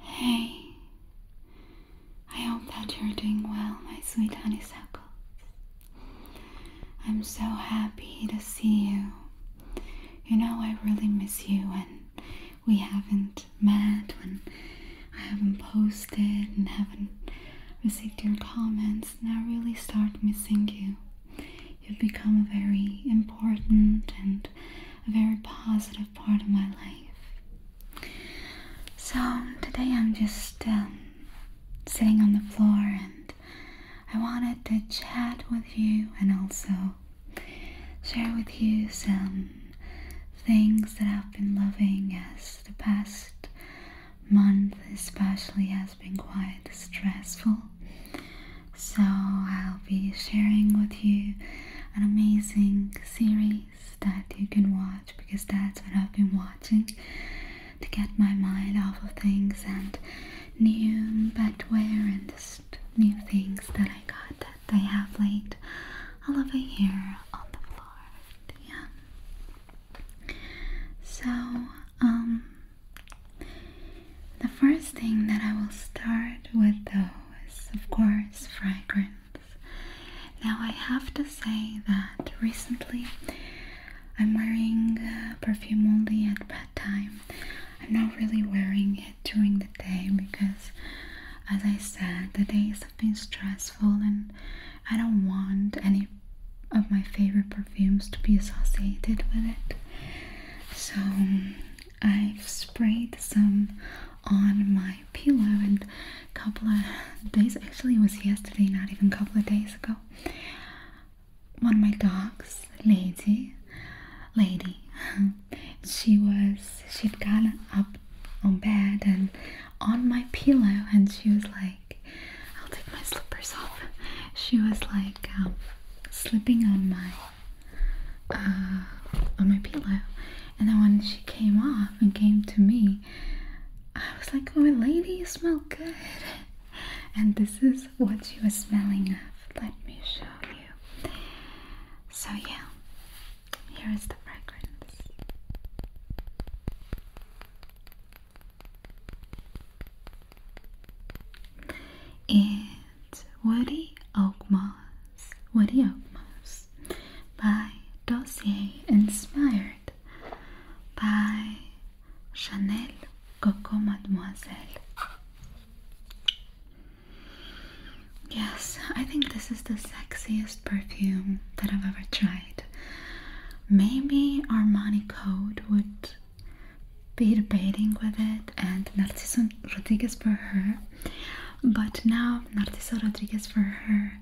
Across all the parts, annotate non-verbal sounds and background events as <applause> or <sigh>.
Hey, I hope that you're doing well, my sweet honeysuckle. I'm so happy to see you. You know, I really miss you when we haven't met, when I haven't posted and haven't received your comments, and I really start missing you. You've become a very important and a very positive part of my life. So today I'm just um, sitting on the floor and I wanted to chat with you and also share with you some things that I've been loving as the past month especially has been quite stressful. So I'll be sharing with you an amazing series that you can watch because that's what I've been watching to get my mind off of things and new bedware and just new things that I got that I have laid all over here on the floor. Yeah. So, um, the first thing that I will start with though of course, fragrance. Now, I have to say that recently I'm wearing uh, perfume only at bedtime. I'm not really wearing it during the day because, as I said, the days have been stressful and I don't want any of my favorite perfumes to be associated with it. So, I've sprayed some on my pillow and a couple of days actually was yesterday, not even a couple of days ago. One of my dogs, Lady, lady, <laughs> she was she'd gotten up on bed and on my pillow and she was like I'll take my slippers off. She was like um, slipping on my uh, on my pillow. And then when she came off and came to me, I was like, "My oh, lady, you smell good. <laughs> And this is what you was smelling of. Let me show you. So, yeah, here is the fragrance. It it Woody Oakmoss Woody Oakmoss by Dossier Inspired by Chanel Coco Mademoiselle Yes, I think this is the sexiest perfume that I've ever tried. Maybe Armani Code would be debating with it and Narciso Rodriguez for her, but now Narciso Rodriguez for her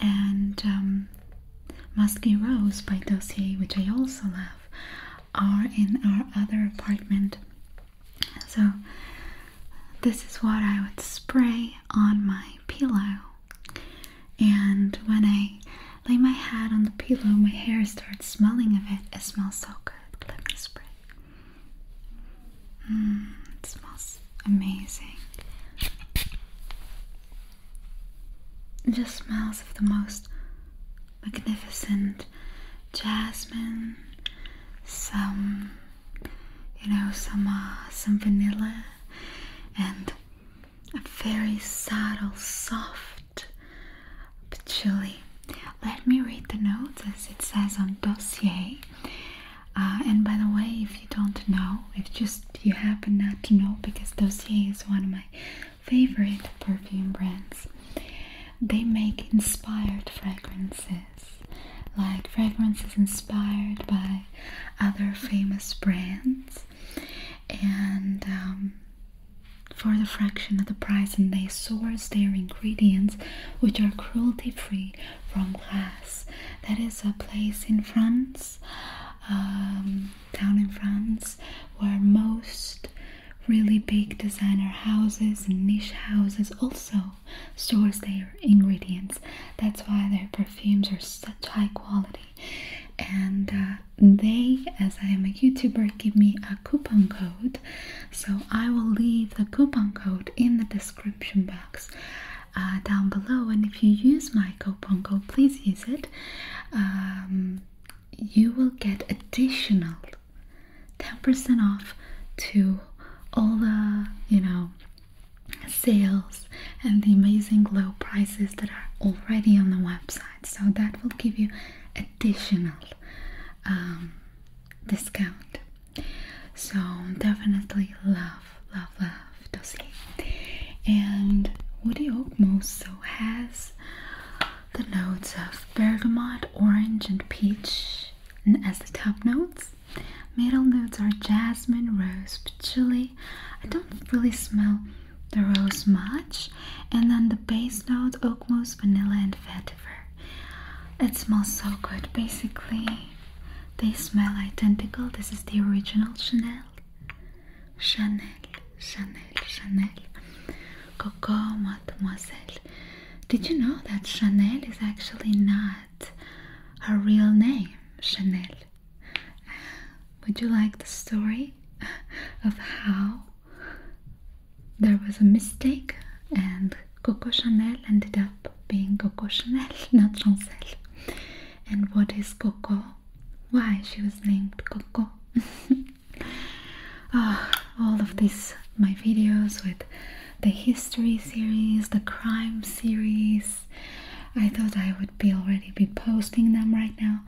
and um, Musky Rose by Dossier, which I also love, are in our other apartment. So, this is what I would spray on my pillow. And when I lay my head on the pillow, my hair starts smelling of it. It smells so good. Let me spray. Mm, it smells amazing. It just smells of the most magnificent jasmine, some, you know, some uh, some vanilla, and a very subtle, soft patchouli let me read the notes as it says on dossier. Uh, and by the way, if you don't know, if just you happen not to know, because dossier is one of my favorite perfume brands, they make inspired fragrances, like fragrances inspired by other famous brands, and um, for the fraction of the price, and they source their ingredients which are cruelty free from glass. That is a place in France, um, town in France, where most really big designer houses and niche houses also source their ingredients. That's why their perfumes are such high quality. And uh, they, as I am a YouTuber, give me a coupon code so I will leave the coupon code in the description box uh, down below. And if you use my coupon code, please use it. Um, you will get additional 10% off to all the you know sales and the amazing low prices that are already on the website so that will give you additional um, discount so definitely love, love, love Dossier. And Woody Oak So has the notes of bergamot, orange, and peach and as the top notes. Middle notes are jasmine, rose, patchouli. I don't really smell the rose much. And then the base notes, oak mousse, vanilla, and fat it smells so good. Basically, they smell identical. This is the original Chanel. Chanel, Chanel, Chanel. Coco Mademoiselle. Did you know that Chanel is actually not her real name? Chanel. Would you like the story of how there was a mistake and Coco Chanel ended up being Coco Chanel, <laughs> not Chancel. And what is Coco? Why she was named Coco? <laughs> Ah, all of these my videos with the history series, the crime series. I thought I would be already be posting them right now,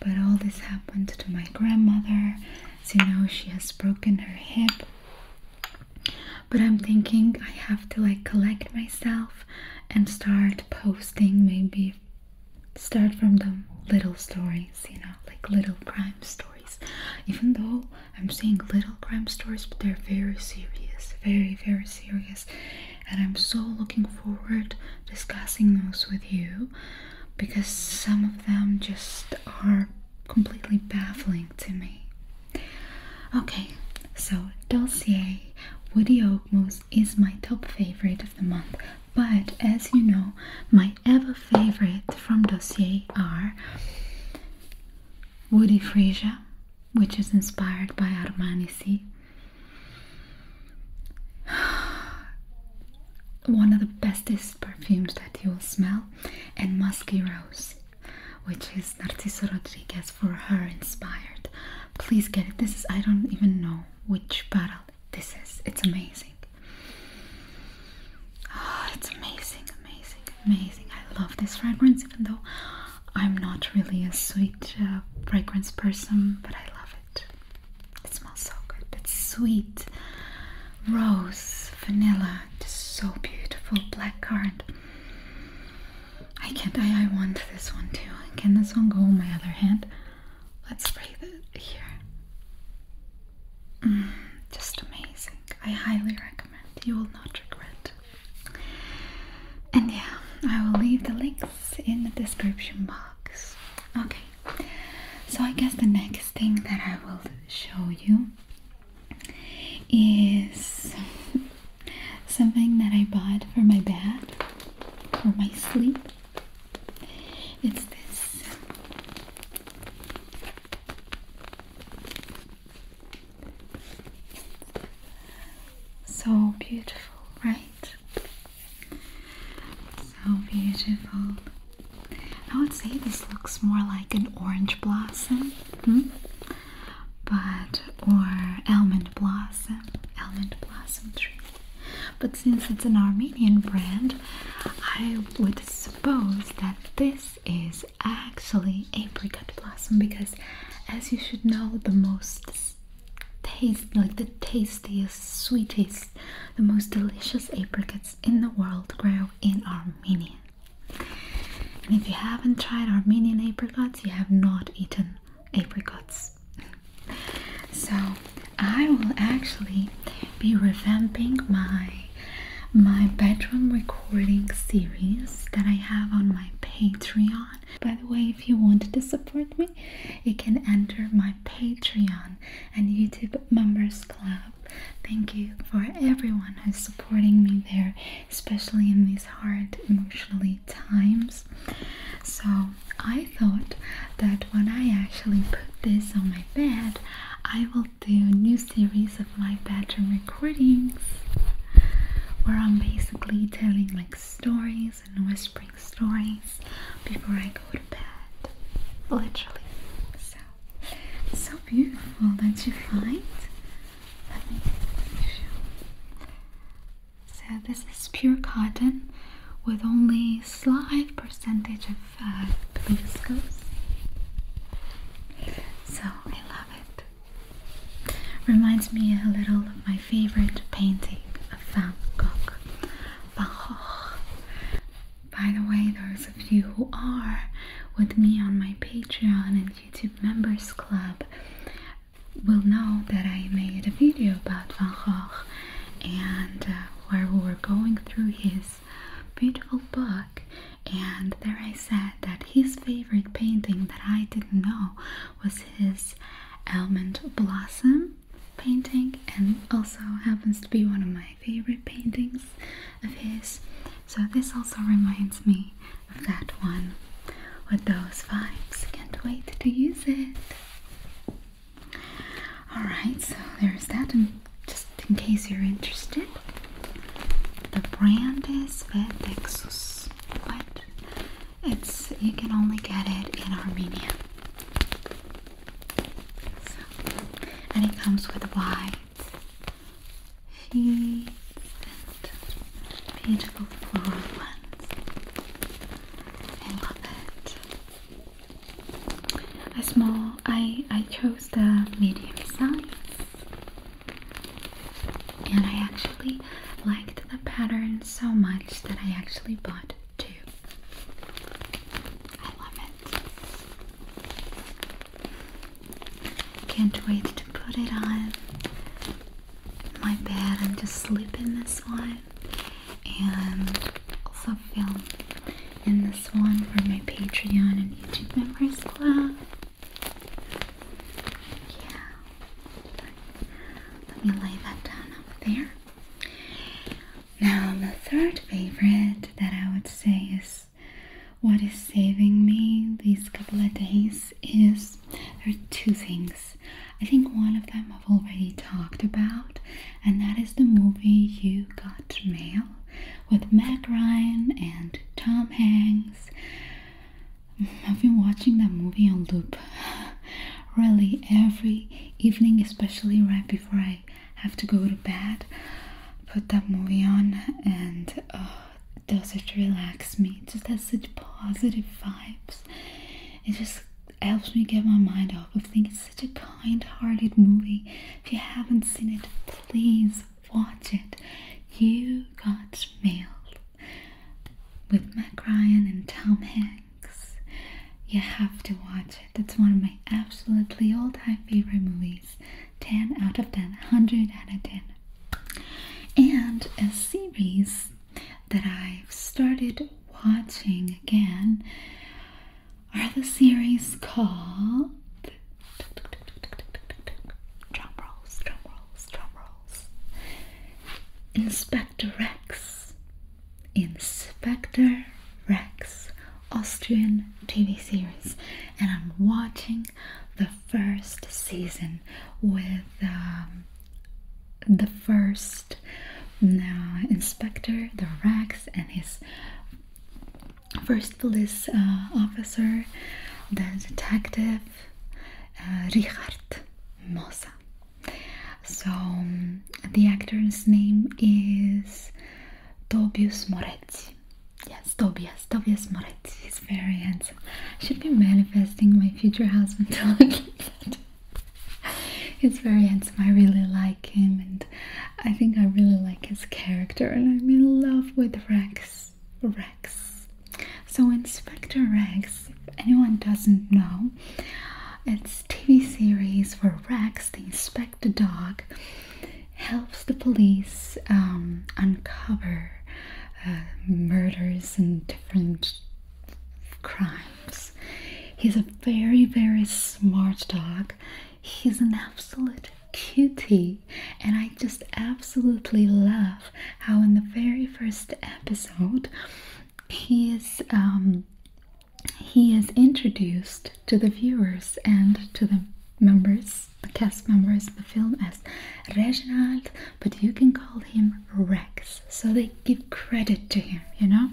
but all this happened to my grandmother. As you know, she has broken her hip but I'm thinking I have to like collect myself and start posting, maybe start from the little stories, you know, like little crime stories. Even though I'm seeing little crime stories, but they're very serious, very, very serious. And I'm so looking forward discussing those with you because some of them just are completely baffling to me. Okay, so Dossier Woody Oakmoss is my top favorite of the month, but as you know, my ever favorite from Dossier are Woody Frisia, which is inspired by Armani C. <sighs> One of the bestest perfumes that you'll smell, and Musky Rose which is Narciso Rodriguez for her inspired. Please get it. This is I don't even know which bottle this is. It's amazing. Oh, it's amazing, amazing, amazing. I love this fragrance, even though I'm not really a sweet uh, fragrance person, but I love it. It smells so good. It's sweet rose, vanilla, just so beautiful, black currant. I can't, I, I want this one too. Can this one go on my other hand? Let's spray it here. Mm, just amazing. I highly recommend. You will not regret. And yeah, I will leave the links in the description box. Okay, so I guess the next thing that I will show you is <laughs> something that I bought for my bed, for my sleep. It's this so beautiful, right? So beautiful. I would say this looks more like an orange blossom, hmm? but or almond blossom, almond blossom tree. But since it's an Armenian brand, I would suppose that this is actually apricot blossom because, as you should know, the most taste, like the tastiest, sweetest, the most delicious apricots in the world grow in Armenia. And if you haven't tried Armenian apricots, you have not eaten apricots. So I will actually be revamping my my bedroom recording series that I have on my Patreon. By the way, if you want to support me, you can enter my Patreon and YouTube members club Thank you for everyone who's supporting me there, especially in these hard emotionally times. So, I thought that when I actually put this on my bed, I will do a new series of my bedroom recordings where I'm basically telling like stories and whispering stories before I go to bed. Literally. So so beautiful, don't you find? So this is pure cotton with only slight percentage of uh, viscose. So I love it. Reminds me a little of my favorite painting of Van Gogh. Van Gogh. By the way, those of you who are with me on my Patreon and YouTube Members Club will know that I made a video about Van Gogh and uh, where we were going through his beautiful book and there I said that his favorite painting that I didn't know was his Almond Blossom painting and also happens to be one of my favorite paintings of his. So this also reminds me of that one with those vibes. Can't wait to use it. Alright, so there's that, and just in case you're interested, the brand is Vetexus. What? It's you can only get it in Armenia. and it comes with Y sheets and beautiful floral ones. I love it. A small, I, I chose the medium size and I actually liked the pattern so much that I actually bought two. I love it. Can't wait to put it on my bed and just sleep in this one and also film in this one for my Patreon and YouTube members club. Yeah. Let me lay that down over there. Now the third favorite that I would say is what is saving me these couple of days is there are two things. I think one of them I've already talked about, and that is the movie You Got Mail with Meg Ryan and Tom Hanks. Mm, I've been watching that movie on loop <laughs> really every evening, especially right before I have to go to bed, put that movie on, and oh, does it relax me? just has such positive vibes. It just helps me get my mind off of things. such a kind hearted movie. If you haven't seen it, please watch it. You Got Mail with Mac and Tom Hanks. You have to watch it. It's one of my absolutely all time favorite movies. 10 out of 10, 100 out of 10. And a series that I've started watching again are the series called drum rolls, drum rolls, drum rolls. Inspector Rex. Inspector Rex, Austrian TV series, and I'm watching the first season with um, the first uh, inspector, the Rex, and his first police uh, officer, the detective uh, Richard Mosa. So um, the actor's name is Tobias Moretti. Yes, Tobias, Tobias Moretti. is very handsome. I should be manifesting my future husband <laughs> to look like that. He's very handsome. I really like him, and I think I really like his character. And I'm in love with Rex. Rex. So Inspector Rex. If anyone doesn't know, it's TV series where Rex, the inspector the Dog helps the police um, uncover uh, murders and different crimes. He's a very, very smart dog. He's an absolute cutie, and I just absolutely love how, in the very first episode, he is um, he is introduced to the viewers and to the members, the cast members the film as Reginald, but you can call him Rex. So they give credit to him, you know?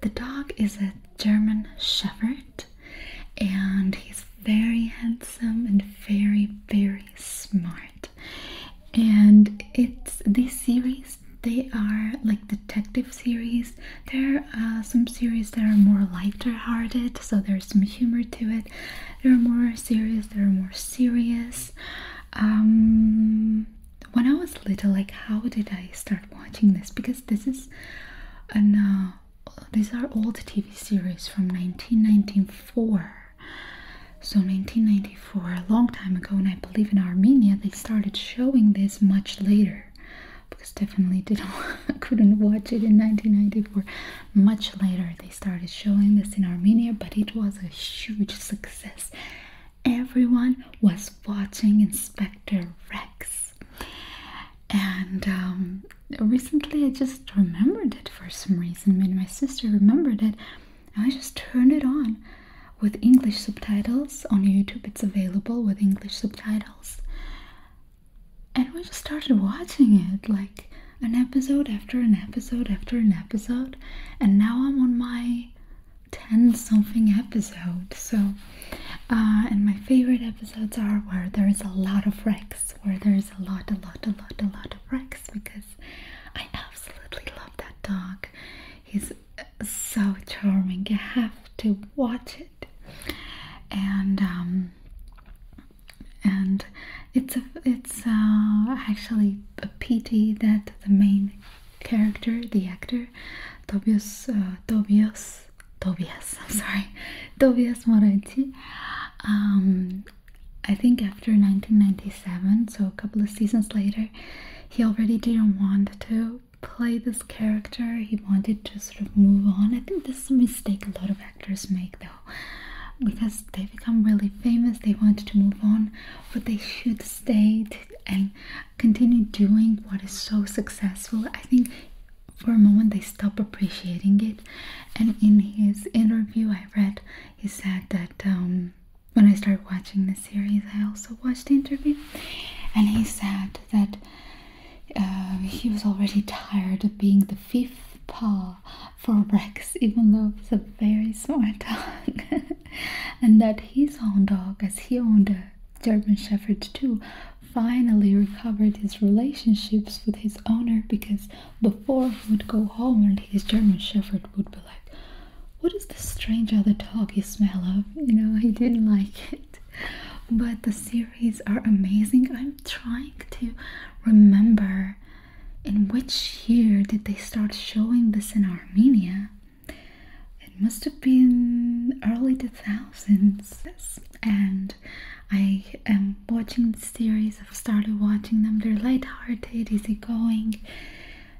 The dog is a German Shepherd and he's very handsome and very, very smart. And it's this series, they are like detective series there are uh, some series that are more lighter-hearted, so there's some humor to it. There are more series that are more serious. Um, when I was little, like how did I start watching this? Because this is and uh, these are old TV series from 1994. So 1994, a long time ago, and I believe in Armenia they started showing this much later because definitely didn't <laughs> couldn't watch it in 1994. Much later they started showing this in Armenia, but it was a huge success. Everyone was watching Inspector Rex. And um, recently I just remembered it for some reason. When my sister remembered it, I just turned it on with English subtitles. On YouTube, it's available with English subtitles and we just started watching it like an episode after an episode after an episode and now i'm on my 10 something episode so uh, and my favorite episodes are where there is a lot of Rex, where there is a lot a lot a lot a lot of Rex, because i absolutely love that dog he's so charming you have to watch it and um, and it's it's uh, actually a pity that the main character the actor Tobias uh, Tobias Tobias <laughs> I'm sorry Tobias Moretti um, I think after 1997 so a couple of seasons later he already didn't want to play this character he wanted to sort of move on i think this is a mistake a lot of actors make though because they become really famous they want to move on but they should stay and continue doing what is so successful i think for a moment they stop appreciating it and in his interview i read he said that um, when i started watching the series i also watched the interview and he said that uh, he was already tired of being the fifth paw for Rex, even though it a very smart dog, <laughs> and that his own dog, as he owned a German Shepherd too, finally recovered his relationships with his owner because before he would go home and his German Shepherd would be like, What is this strange other dog you smell of? You know, he didn't like it but the series are amazing i'm trying to remember in which year did they start showing this in armenia it must have been early 2000s and i am watching the series i've started watching them they're light-hearted going?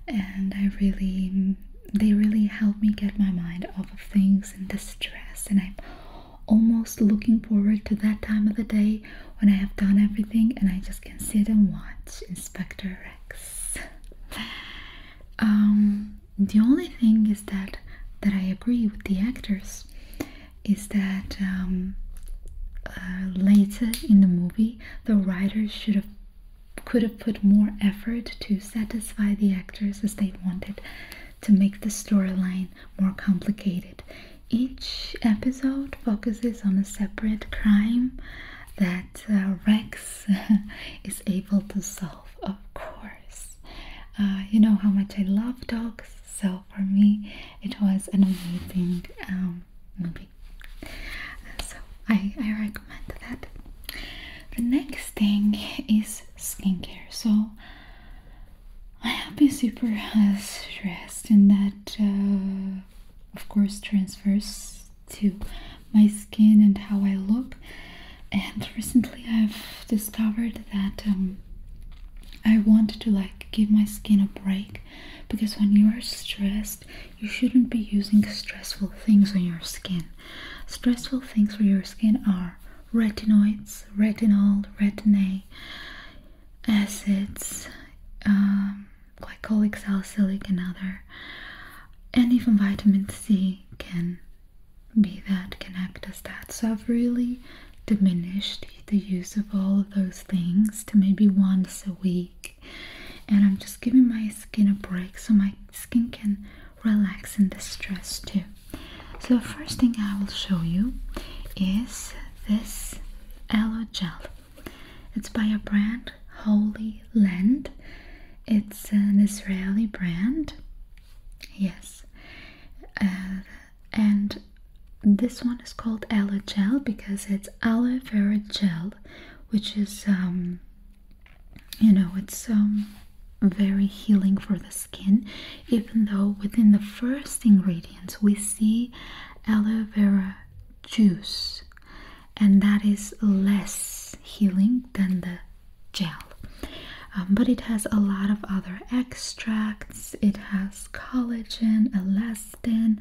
and i really they really help me get my mind off of things and the stress and i'm almost looking forward to that time of the day when I have done everything and I just can sit and watch Inspector Rex. <laughs> Um, the only thing is that that I agree with the actors is that um, uh, later in the movie the writers should have could have put more effort to satisfy the actors as they wanted to make the storyline more complicated. Each episode focuses on a separate crime that uh, Rex <laughs> is able to solve, of course. Uh, you know how much I love dogs, so for me it was an amazing um, movie. So I recommend that. The next thing is skincare. So I have been super uh, stressed and that uh, of course transfers to my skin and how I look and recently I've discovered that um, I want to like give my skin a break because when you are stressed you shouldn't be using stressful things on your skin stressful things for your skin are retinoids, retinol, retin-A, acids, um, glycolic, salicylic, and other, and even vitamin C can be that, can act as that. So I've really diminished the use of all of those things to maybe once a week, and I'm just giving my skin a break so my skin can relax in the stress too so the first thing I will show you is this aloe gel. It's by a brand Holy Land. It's an Israeli brand. Yes. Uh, and this one is called aloe gel because it's aloe vera gel, which is um, you know, it's um very healing for the skin, even though within the first ingredients we see aloe vera juice, and that is less healing than the gel. Um, but it has a lot of other extracts, it has collagen, elastin,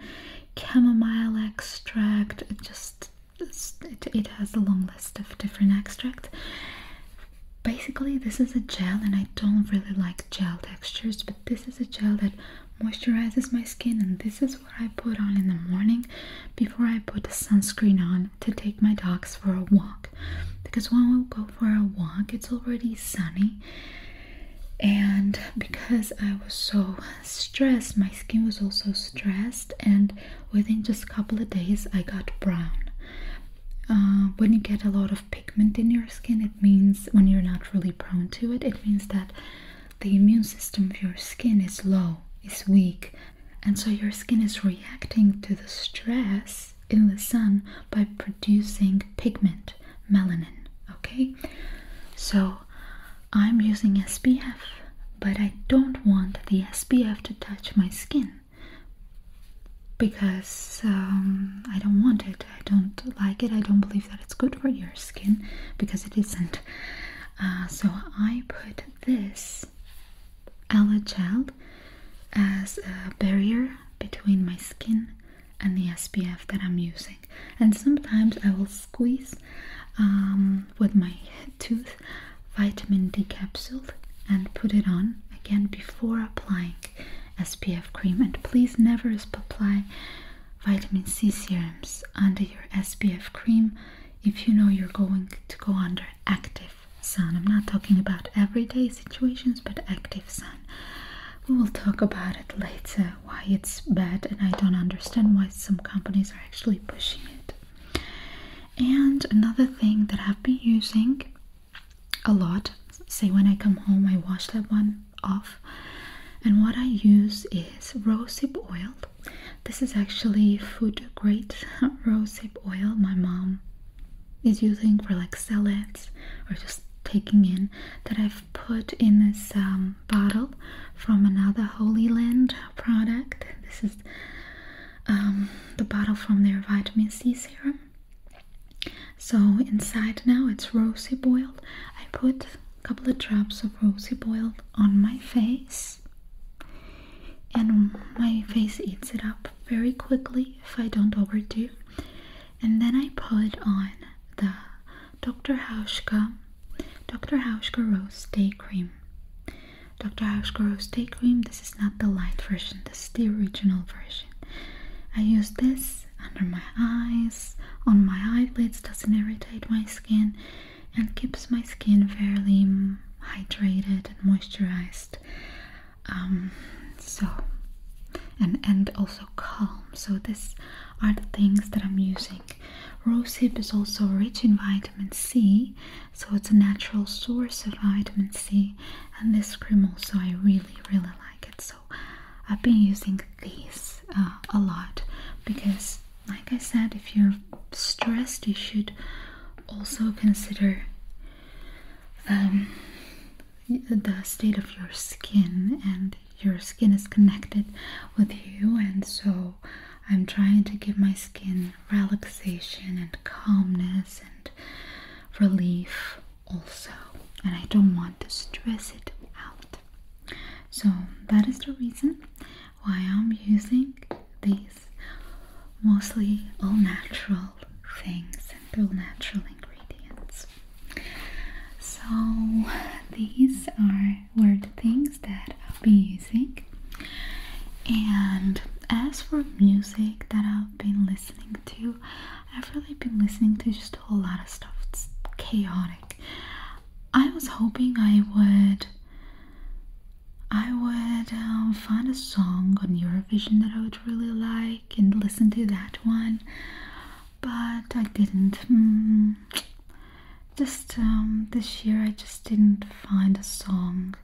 chamomile extract, just it has a long list of different extracts basically this is a gel and I don't really like gel textures but this is a gel that moisturizes my skin and this is what I put on in the morning before I put the sunscreen on to take my dogs for a walk because when we go for a walk it's already sunny and because I was so stressed my skin was also stressed and within just a couple of days I got brown uh, when you get a lot of pigment in your skin, it means when you're not really prone to it, it means that the immune system of your skin is low, is weak, and so your skin is reacting to the stress in the sun by producing pigment, melanin. Okay, so I'm using SPF, but I don't want the SPF to touch my skin because um, I don't want it. I don't like it. I don't believe that it's good for your skin because it isn't. Uh, so I put this aloe gel as a barrier between my skin and the SPF that I'm using. And sometimes I will squeeze um, with my tooth vitamin D capsule and put it on again before applying SPF cream and please never apply vitamin C serums under your SPF cream if you know you're going to go under active sun. I'm not talking about everyday situations but active sun. We will talk about it later why it's bad and I don't understand why some companies are actually pushing it. And another thing that I've been using a lot. Say when I come home, I wash that one off. And what I use is rosehip oil. This is actually food grade <laughs> rosehip oil. My mom is using for like salads or just taking in that I've put in this um, bottle from another Holy Land product. This is um, the bottle from their vitamin C serum. So inside now it's rosy boiled. I put a couple of drops of rosy boiled on my face and my face eats it up very quickly if I don't overdo. And then I put on the Dr. Hauschka Dr. Hauschka Rose Day Cream. Dr. Hauschka Rose Day Cream, this is not the light version, this is the original version. I use this under my eyes, on my eyelids, doesn't irritate my skin and keeps my skin fairly hydrated and moisturized. Um, so and and also calm. So these are the things that I'm using. Rosehip is also rich in vitamin C, so it's a natural source of vitamin C and this cream also I really really like it so I've been using these uh, a lot because like I said if you're stressed you should also consider um, the state of your skin and your skin is connected with you and so I'm trying to give my skin relaxation and calmness and relief also and I don't want to stress it out so that is the reason why I'm using these mostly all natural things and all natural ingredients so these are were the things that I'll be using and as for music that I've been listening to I've really been listening to just a whole lot of stuff. It's chaotic. I was hoping I would I would um, find a song on Eurovision that I would really like and listen to that one, but I didn't. Hmm. Just um, this year, I just didn't find a song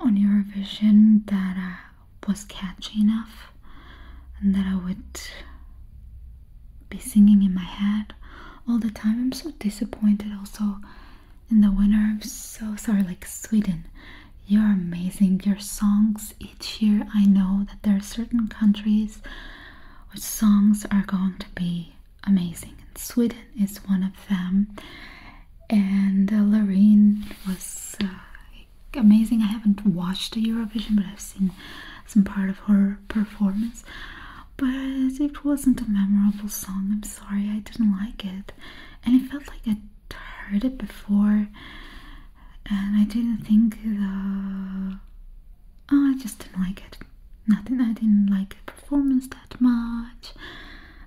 on Eurovision that uh, was catchy enough and that I would be singing in my head all the time. I'm so disappointed also in the winter. I'm so sorry, like Sweden. You're amazing. Your songs each year, I know that there are certain countries where songs are going to be amazing. And Sweden is one of them. And uh, Loreen was uh, amazing. I haven't watched the Eurovision, but I've seen some part of her performance. But it wasn't a memorable song. I'm sorry, I didn't like it, and it felt like I'd heard it before, and I didn't think the. Uh, oh, I just didn't like it. Nothing. I didn't like the performance that much.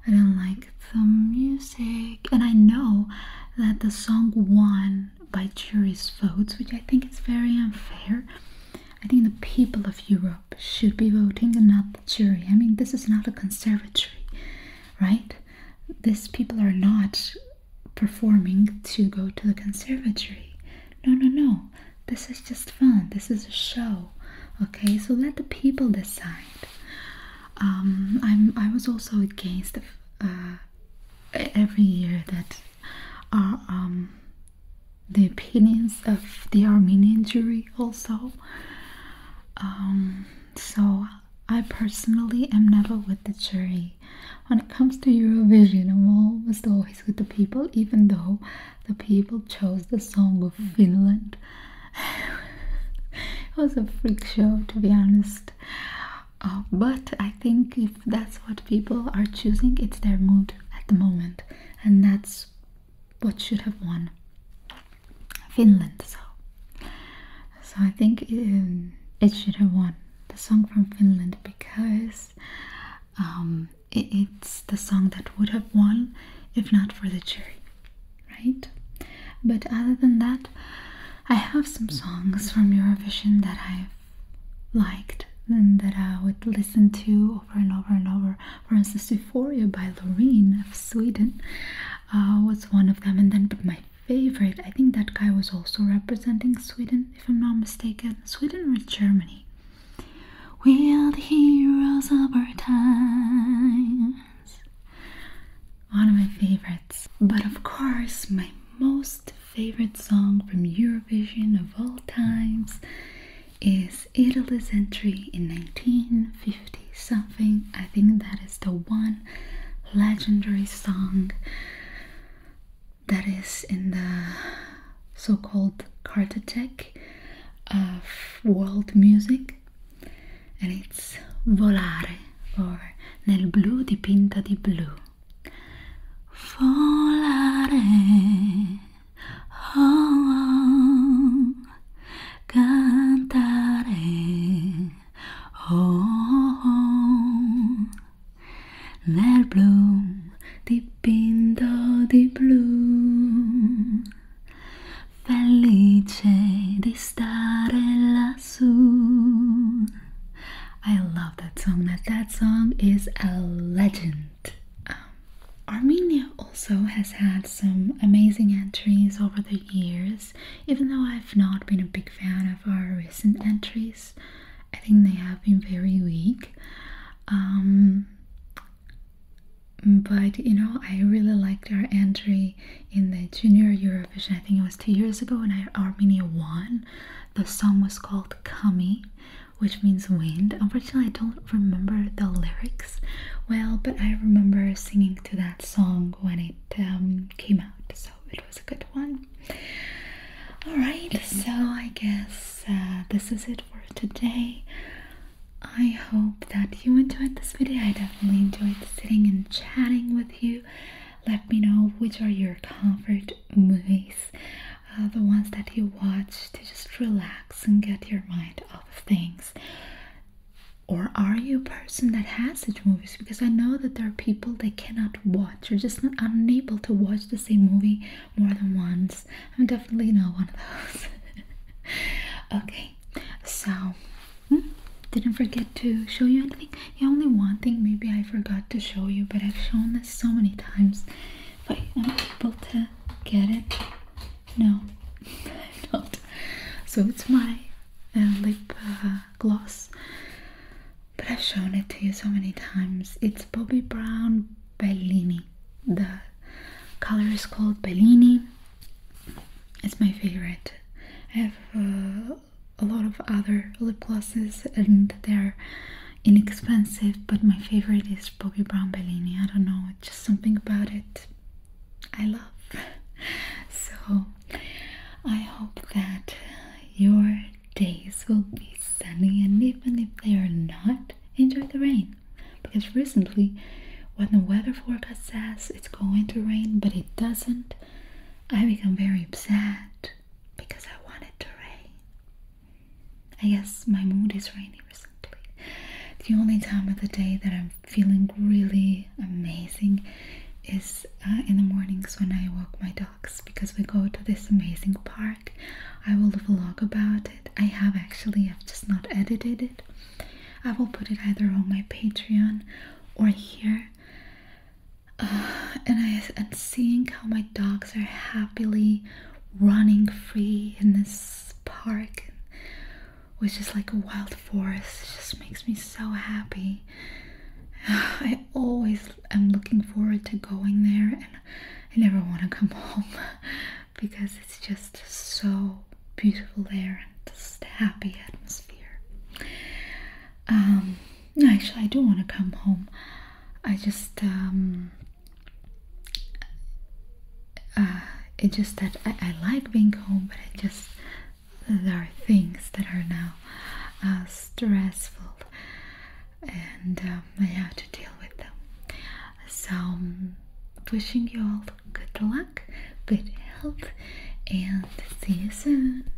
I do not like the music, and I know that the song won by jury's votes, which I think is very unfair. I think the people of Europe should be voting and not the jury. I mean, this is not a conservatory, right? These people are not performing to go to the conservatory. No, no, no. This is just fun. This is a show. Okay, so let the people decide. Um, I'm. I was also against uh, every year that uh, um, the opinions of the Armenian jury also. Um, so I personally am never with the jury. When it comes to Eurovision, I'm almost always with the people, even though the people chose the song of Finland it was a freak show to be honest uh, but i think if that's what people are choosing it's their mood at the moment and that's what should have won finland so so i think um, it, should have won the song from finland because um, it's the song that would have won if not for the jury right? But other than that, I have some songs from Eurovision that I've liked and that I would listen to over and over and over. For instance, Euphoria by Loreen of Sweden uh, was one of them. And then, my favorite, I think that guy was also representing Sweden, if I'm not mistaken. Sweden or Germany? We are the heroes of our time. One of my favorites. But of course, my most favorite song from Eurovision of all times is Italy's entry in 1950 something. I think that is the one legendary song that is in the so called cartotek of world music and it's volare or nel blu dipinta di blu volare oh, oh, cantare oh, oh nel blu dipinto di blu felice di stare lassù. I love that song. That that song is a legend. Um, Armenia also has had some amazing entries over the years, even though I've not been a big fan of our recent entries. I think they have been very weak. Um, but you know, I really liked our entry in the junior Eurovision, I think it was two years ago when Armenia won. The song was called Kami, which means wind. Unfortunately, I don't remember the lyrics well, but I remember singing to that song when it um, came out, so it was a good one. Alright, so I guess uh, this is it for today. I hope that you enjoyed this video. I definitely enjoyed sitting and chatting with you. Let me know which are your comfort movies, uh, the ones that you watch to just relax and get your mind off of things. Or are you a person that has such movies? Because I know that there are people that cannot watch or just not unable to watch the same movie more than once. I'm definitely not one of those. <laughs> okay, so Hmm? Didn't forget to show you anything? Yeah, only one thing maybe I forgot to show you, but I've shown this so many times. But am able to get it? No, <laughs> i do not. So it's my uh, lip uh, gloss. But I've shown it to you so many times. It's Bobbi Brown Bellini. The color is called Bellini it's my favorite. I have uh, a lot of other lip glosses and they're inexpensive, but my favorite is Bobbi Brown Bellini. I don't know, just something about it I love. <laughs> so I hope that your days will be sunny and even if they are not, enjoy the rain. Because recently, when the weather forecast says it's going to rain but it doesn't, rained. I become very upset because I wanted to rain. I guess my mood is rainy recently. The only time of the day that I'm feeling really amazing is uh, in the mornings when I walk my dogs because we go to this amazing park. I will vlog about it. I have actually, I've just not edited it. I will put it either on my Patreon or here. Uh, and I and seeing how my dogs are happily running free in this park which is like a wild forest. It just makes me so happy. <sighs> I always am looking forward to going there and I never want to come <laughs> home because it's just so beautiful air and just happy atmosphere. Um, actually, I do want to come home. I just, um, uh, it's just that I, like being home, but I just, there are things that are now uh, stressful and um, I have to deal with them. So, um, wishing you all Good luck, good health, and see you soon.